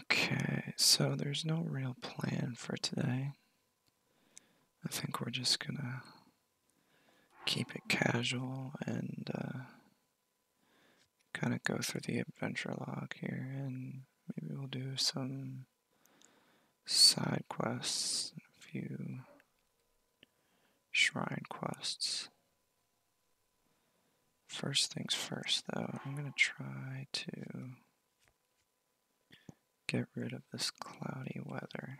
Okay, so there's no real plan for today. I think we're just gonna keep it casual and uh, kind of go through the adventure log here, and maybe we'll do some side quests, a few shrine quests. First things first, though, I'm going to try to get rid of this cloudy weather.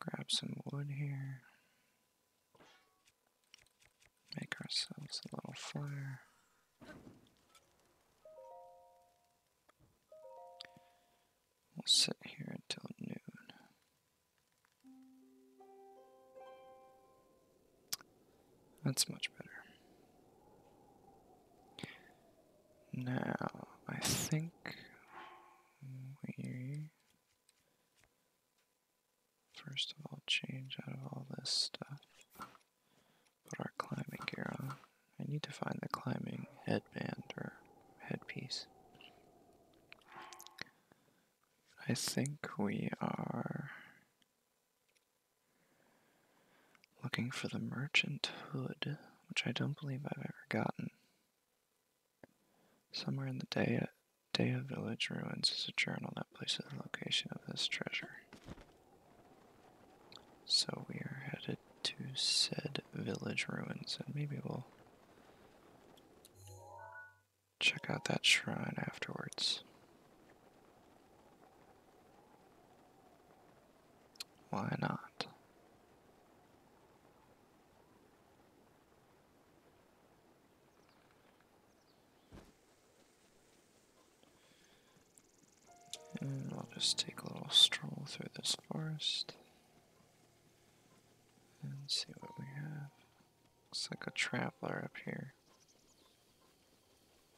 Grab some wood here. Make ourselves a little fire. We'll sit here until noon. That's much better. Now, I think we first of all change out of all this stuff. Put our climbing gear on. I need to find the climbing headband or headpiece. I think we are looking for the merchant hood, which I don't believe I've ever gotten. Somewhere in the Daya, Village ruins is a journal that places the location of this treasure. So we are headed to said village ruins, and maybe we'll Check out that shrine afterwards. Why not? And we'll just take a little stroll through this forest. And see what we have. Looks like a traveler up here.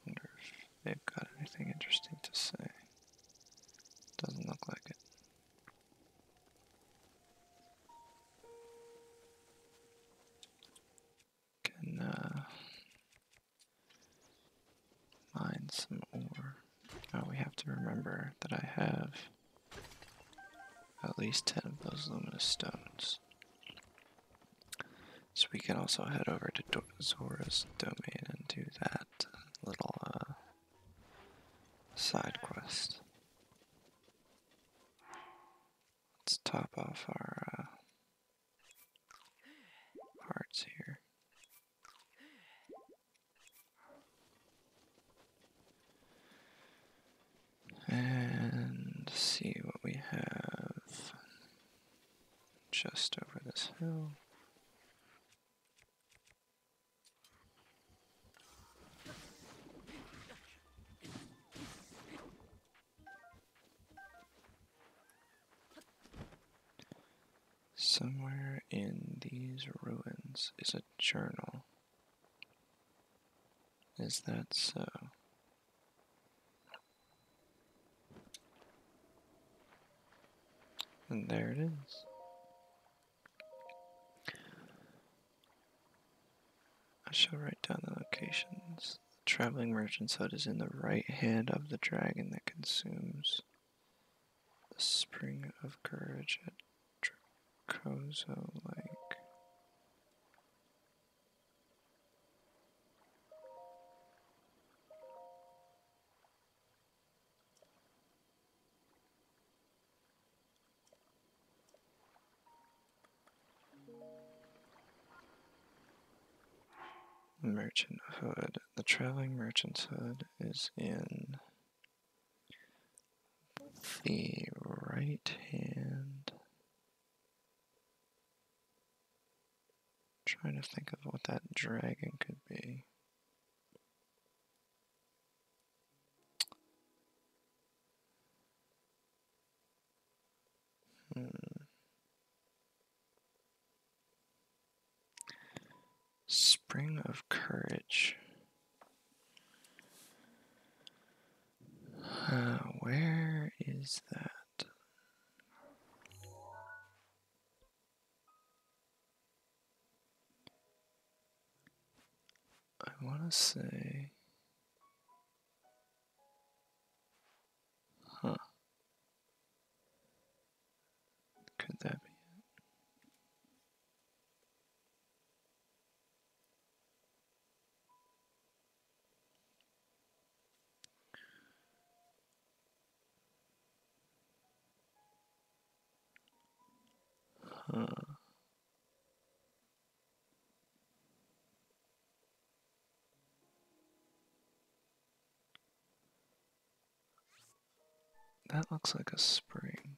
Wonder if they've got anything interesting to say. Doesn't look like it. Can uh, mine some ore. Oh, we have to remember that I have at least 10 of those luminous stones. So we can also head over to Do domain and do that little uh, side quest. Let's top off our uh, hearts here. And see what we have just over this hill. Somewhere in these ruins is a journal. Is that so? And there it is. I shall write down the locations. The traveling merchant's hut is in the right hand of the dragon that consumes the spring of courage Dracoso Lake. Merchant Hood. The Traveling Merchant's Hood is in the right hand. trying to think of what that dragon could be. Hmm. Spring of Courage. Uh, where is that? I want to say. Huh. Could that be it? Huh. That looks like a spring.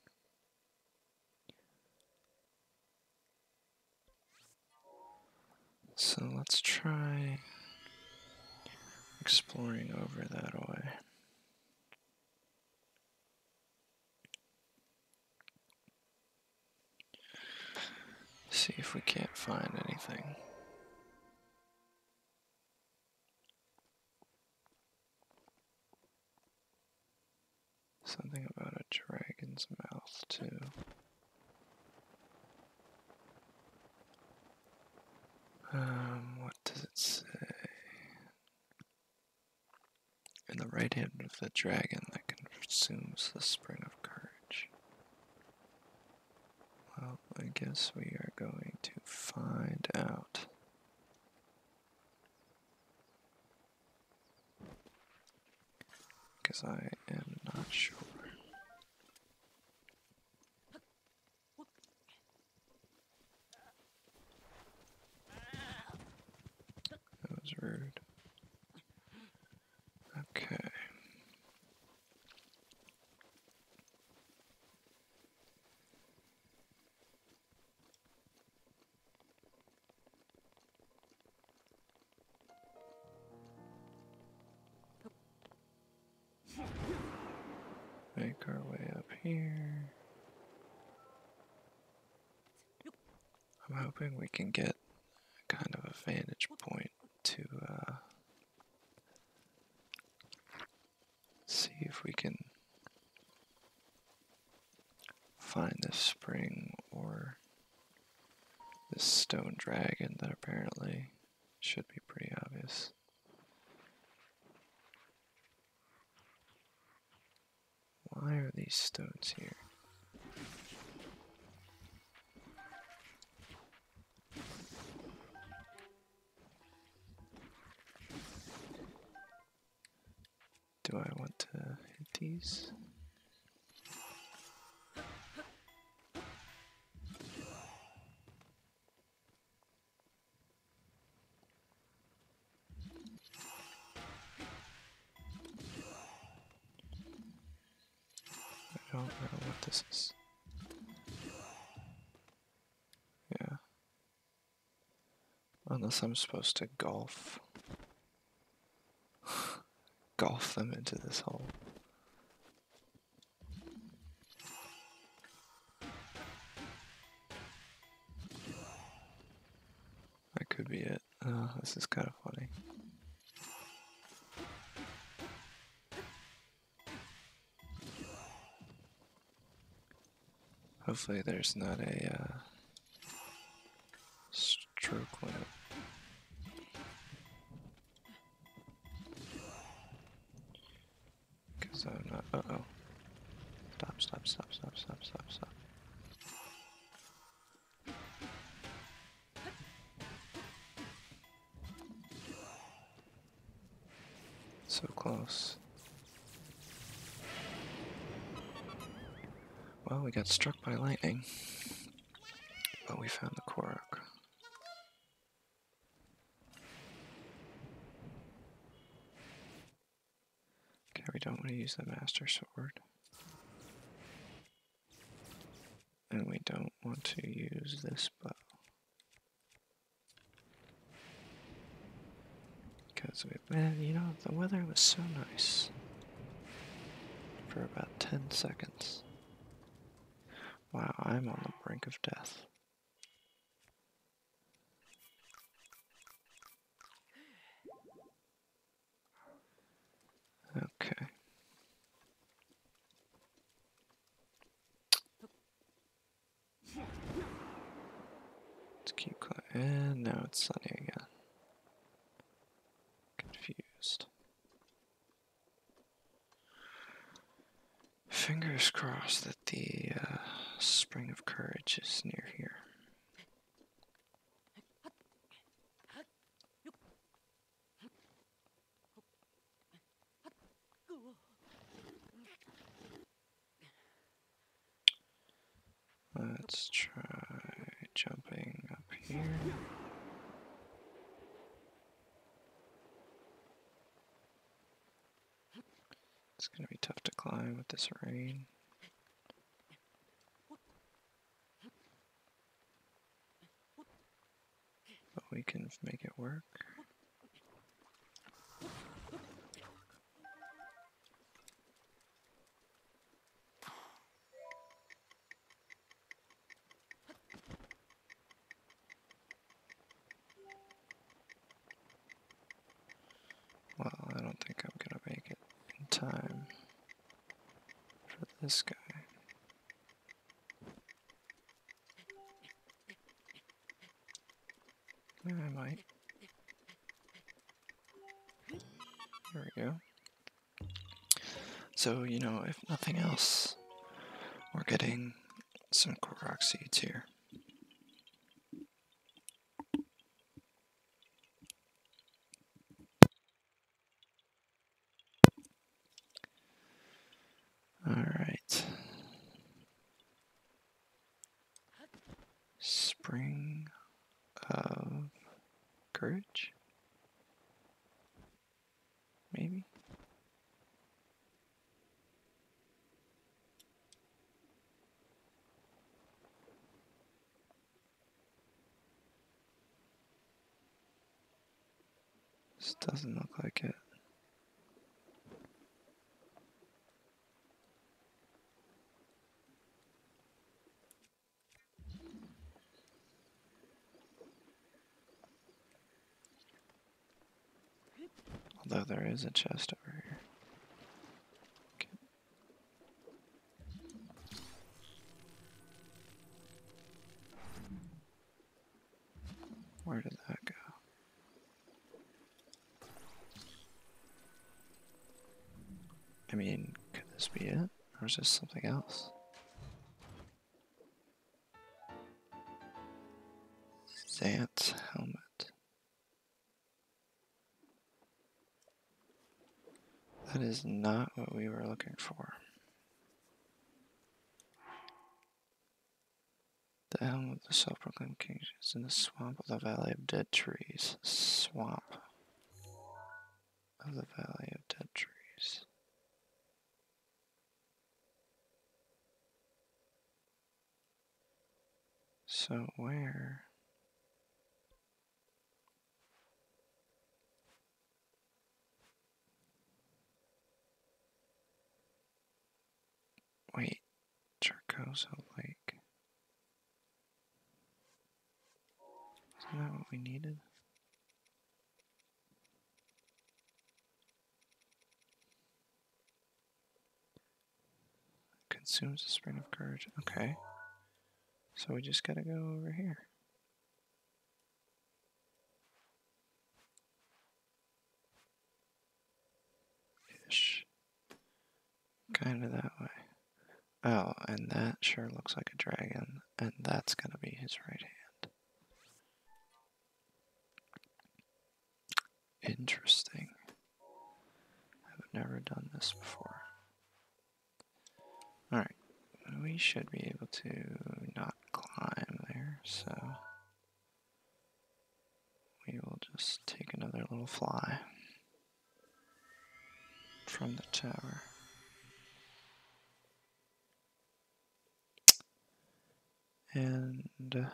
So let's try exploring over that way. See if we can't find anything. Something about a dragon's mouth, too. Um, what does it say? In the right hand of the dragon that consumes the spring of courage. Well, I guess we are going to find out. Because I am not sure. That was rude. Okay. Make our way up here. I'm hoping we can get kind of a vantage point to uh, see if we can find this spring or this stone dragon that apparently should be pretty obvious. Why are these stones here? Do I want to hit these? I don't know what this is. Yeah. Unless I'm supposed to golf. golf them into this hole. That could be it. Oh, this is kind of funny. Hopefully there's not a uh, stroke limit. Because I'm not. oh. stop, stop, stop, stop, stop, stop. So close. Well, we got struck by lightning, but we found the quark. Okay, we don't want to use the Master Sword. And we don't want to use this bow. Because, we, man, you know, the weather was so nice for about 10 seconds. Wow, I'm on the brink of death. Okay. Let's keep going. Eh, now it's sunny again. Confused. Fingers crossed that the uh, Spring of Courage is near here. Let's try jumping up here. It's going to be tough to climb with this rain. But we can make it work. Well, I don't think I'm gonna make it in time for this guy. I might. There we go. So, you know, if nothing else, we're getting some Korok seeds here. Alright. Spring of Courage? Maybe? This doesn't look like it. Although there is a chest over here. Where did that go? I mean, could this be it? Or is this something else? Zant's helmet. That is not what we were looking for. The helm of the self-proclaimed king is in the swamp of the valley of dead trees. Swamp of the Valley of Dead Trees. So where? Wait, Charcosa Lake. Isn't that what we needed? Consumes a spring of courage. Okay. So we just gotta go over here. Ish. Kind of that way. Oh, and that sure looks like a dragon, and that's gonna be his right hand. Interesting. I've never done this before. Alright, we should be able to not climb there, so we will just take another little fly from the tower. And uh,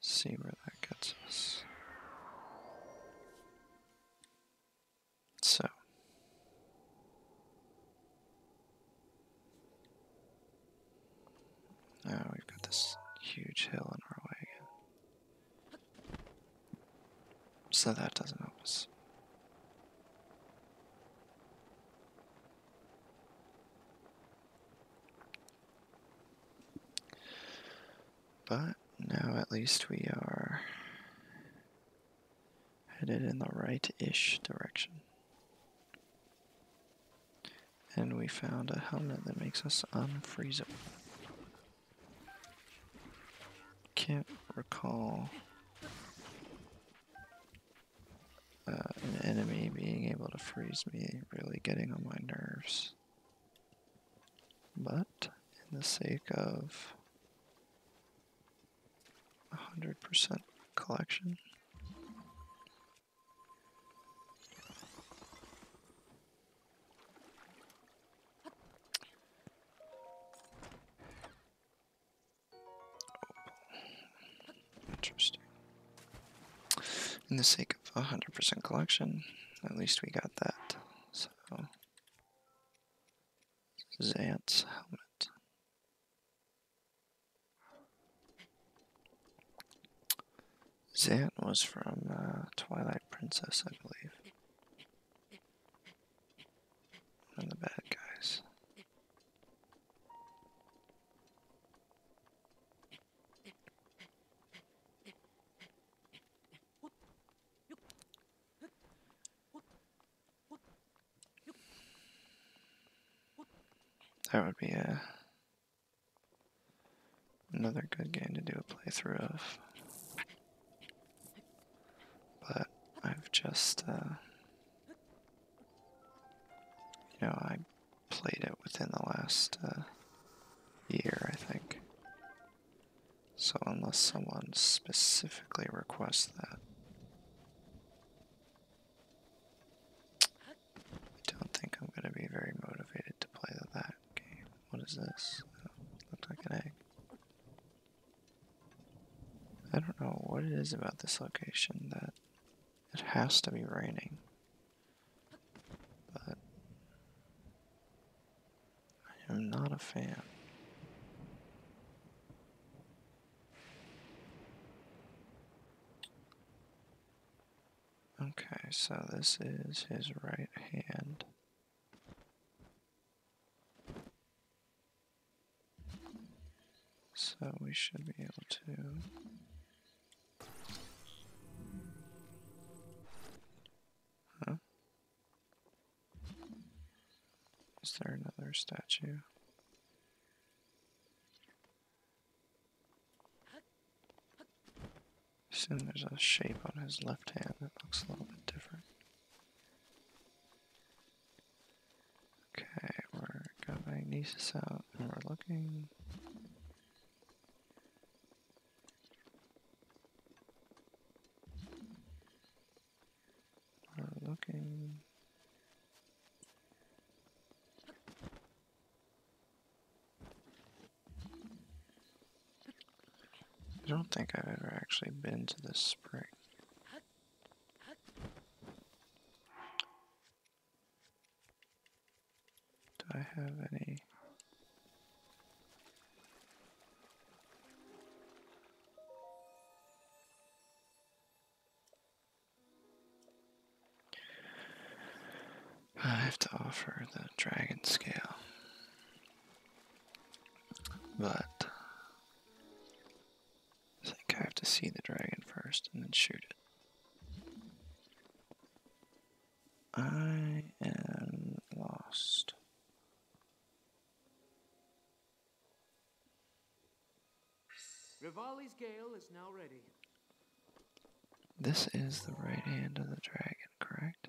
see where that gets us. So. Now oh, we've got this huge hill in our way again. So that doesn't help us. But now at least we are headed in the right-ish direction. And we found a helmet that makes us unfreezeable. Can't recall uh, an enemy being able to freeze me really getting on my nerves. But, in the sake of 100% collection, Interesting. In the sake of a 100% collection, at least we got that. So, Zant's helmet. Zant was from uh, Twilight Princess, I believe. One the bad guys. That would be a uh, Another good game to do a playthrough of. But I've just, uh, you know, I played it within the last uh, year, I think. So unless someone specifically requests that, I don't think I'm going to be very motivated to play that that What is this? Oh, like an egg. I don't know what it is about this location that it has to be raining. But I am not a fan. Okay, so this is his right hand. So we should be able to Huh? Is there another statue? Soon there's a shape on his left hand that looks a little bit different. Okay, we're got magnesis out and we're looking. We're looking. I don't think I've ever actually been to the spring. Do I have any? I have to offer the dragon scale. But I think I have to see the dragon first and then shoot it. I am lost. Rivali's gale is now ready. This is the right hand of the dragon, correct?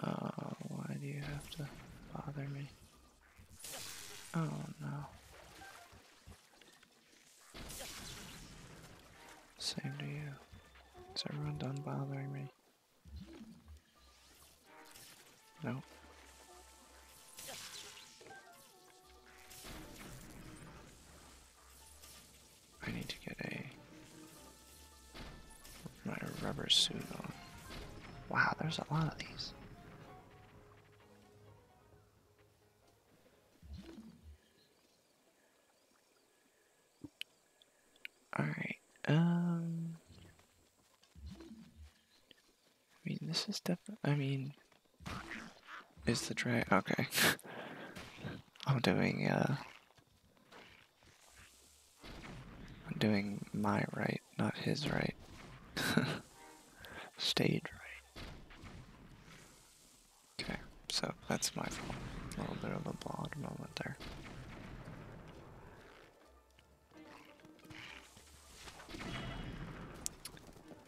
Oh, why do you have to bother me? Oh no. Same to you. Is everyone done bothering me? No. I need to get a my rubber suit on. Wow, there's a lot of these. Alright, um... I mean, this is definitely... I mean... Is the dry... Okay. I'm doing, uh... I'm doing my right, not his right. Stage right. Okay, so that's my fault. A little bit of a blog moment there.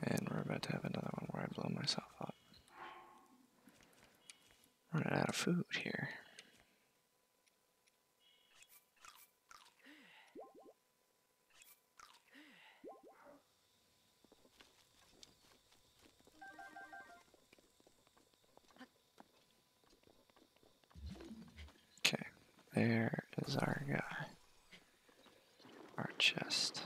And we're about to have another one where I blow myself up. Running out of food here. Okay, there is our guy. Our chest.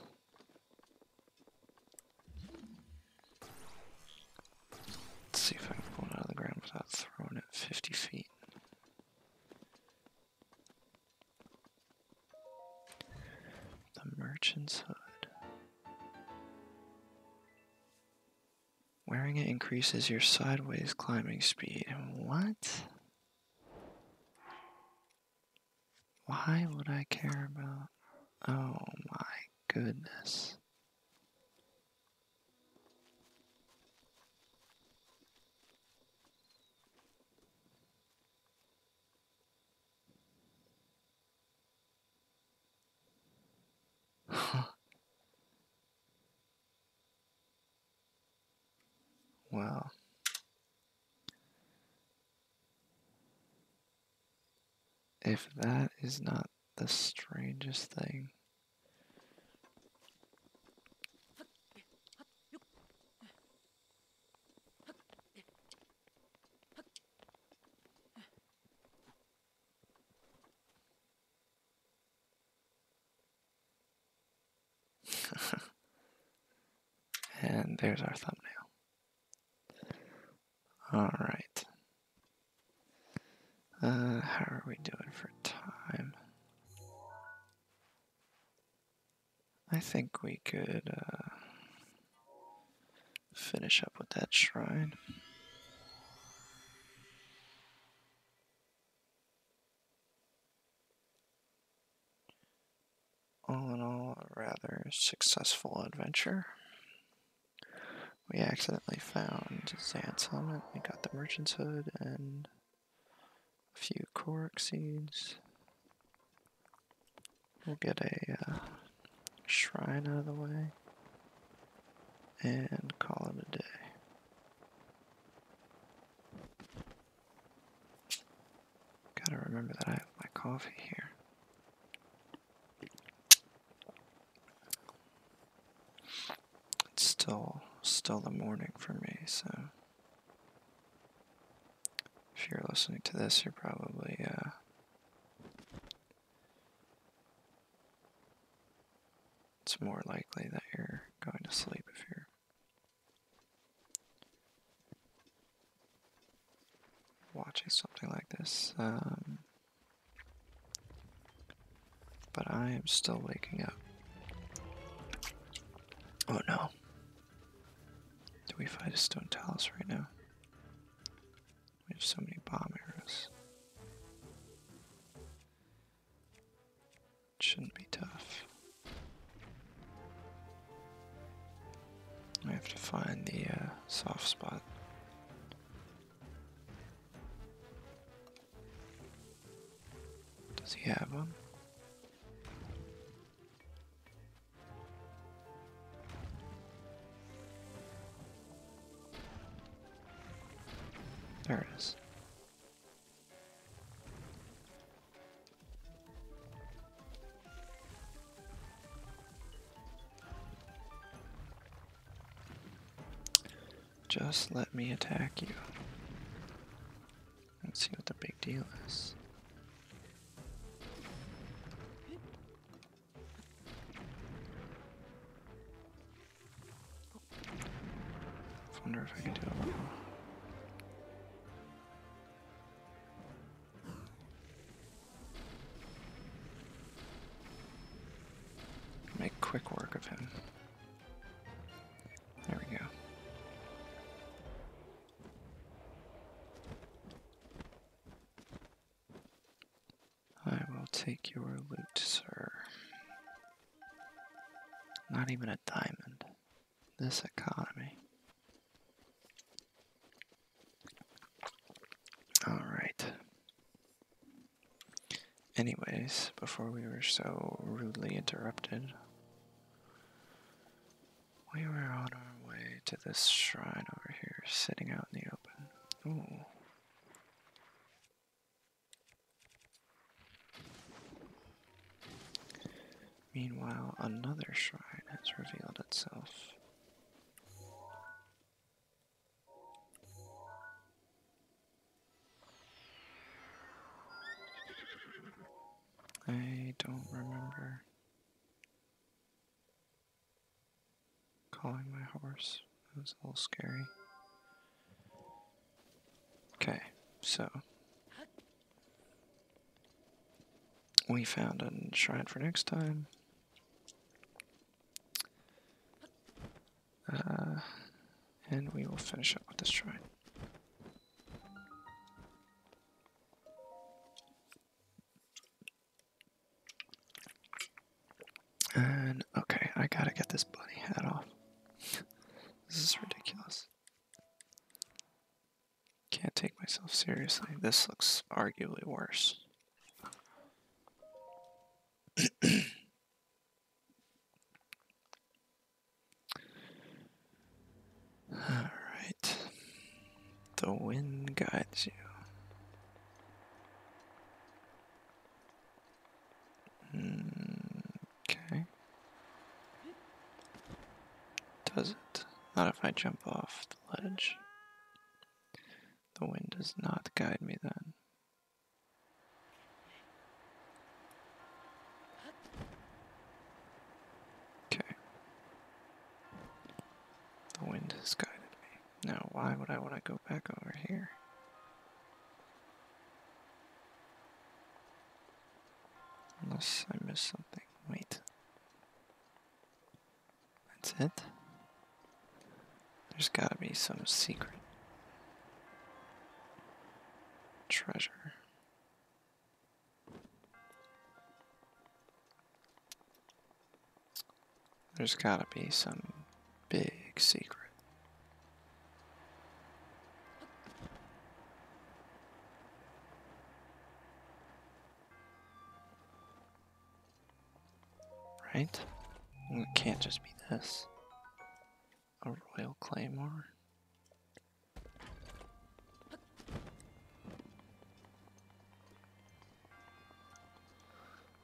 Let's see if I can pull it out of the ground without throwing it 50 feet. The merchant's hood. Wearing it increases your sideways climbing speed. What? Why would I care about... Oh my goodness. wow. If that is not the strangest thing and there's our thumbnail. All right. Uh, how are we doing for time? I think we could uh, finish up with that shrine. All in all, a rather successful adventure. We accidentally found Zan's helmet, we got the merchant's hood, and a few korok seeds. We'll get a uh, shrine out of the way and call it a day. Gotta remember that I have my coffee here. It's still still the morning for me, so if you're listening to this, you're probably uh, it's more likely that you're going to sleep if you're watching something like this. Um, but I am still waking up. Oh no. Do we find a stone talus right now? We have so many bomb arrows. It shouldn't be tough. I have to find the uh, soft spot. Does he have one? There it is. Just let me attack you. and see what the big deal is. wonder if I can do it. Make quick work of him. There we go. I will take your loot, sir. Not even a diamond. This economy. Alright. Anyways, before we were so rudely interrupted, we were on our way to this shrine over here, sitting out in the open. Meanwhile, another shrine has revealed itself. I don't remember calling my horse. That was a little scary. Okay, so we found a shrine for next time. Uh, and we will finish up with this shrine. And okay, I gotta get this bunny hat off. this is ridiculous. Can't take myself seriously. This looks arguably worse. All right. The wind guides you. Okay. Does it? Not if I jump off the ledge. The wind does not guide me then. Okay. The wind has guided me. Now, why would I want to go back over here? Unless I missed something. Wait. That's it? There's gotta be some secret treasure. There's gotta be some big secret. Right? It can't just be this a royal claymore.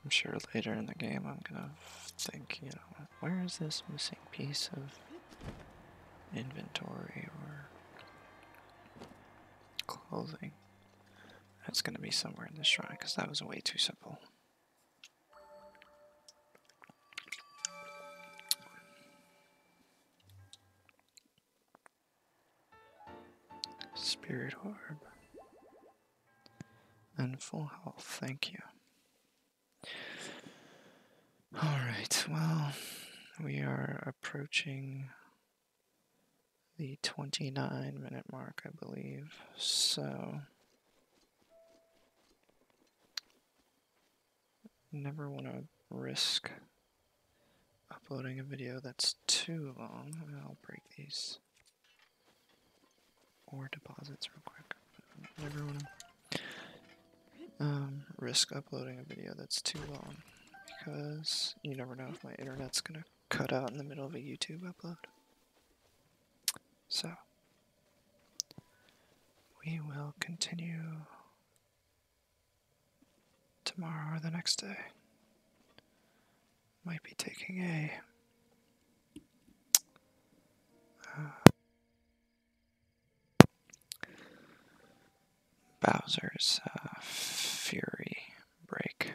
I'm sure later in the game I'm gonna think, you know, where is this missing piece of inventory or clothing? That's gonna be somewhere in the shrine because that was way too simple. Spirit Orb. And full health, thank you. Alright, well, we are approaching the 29 minute mark, I believe, so never want to risk uploading a video that's too long. I'll break these or deposits real quick. Never want to um, risk uploading a video that's too long because you never know if my internet's gonna cut out in the middle of a YouTube upload. So, we will continue tomorrow or the next day. Might be taking a. Uh, Bowser's uh, Fury break.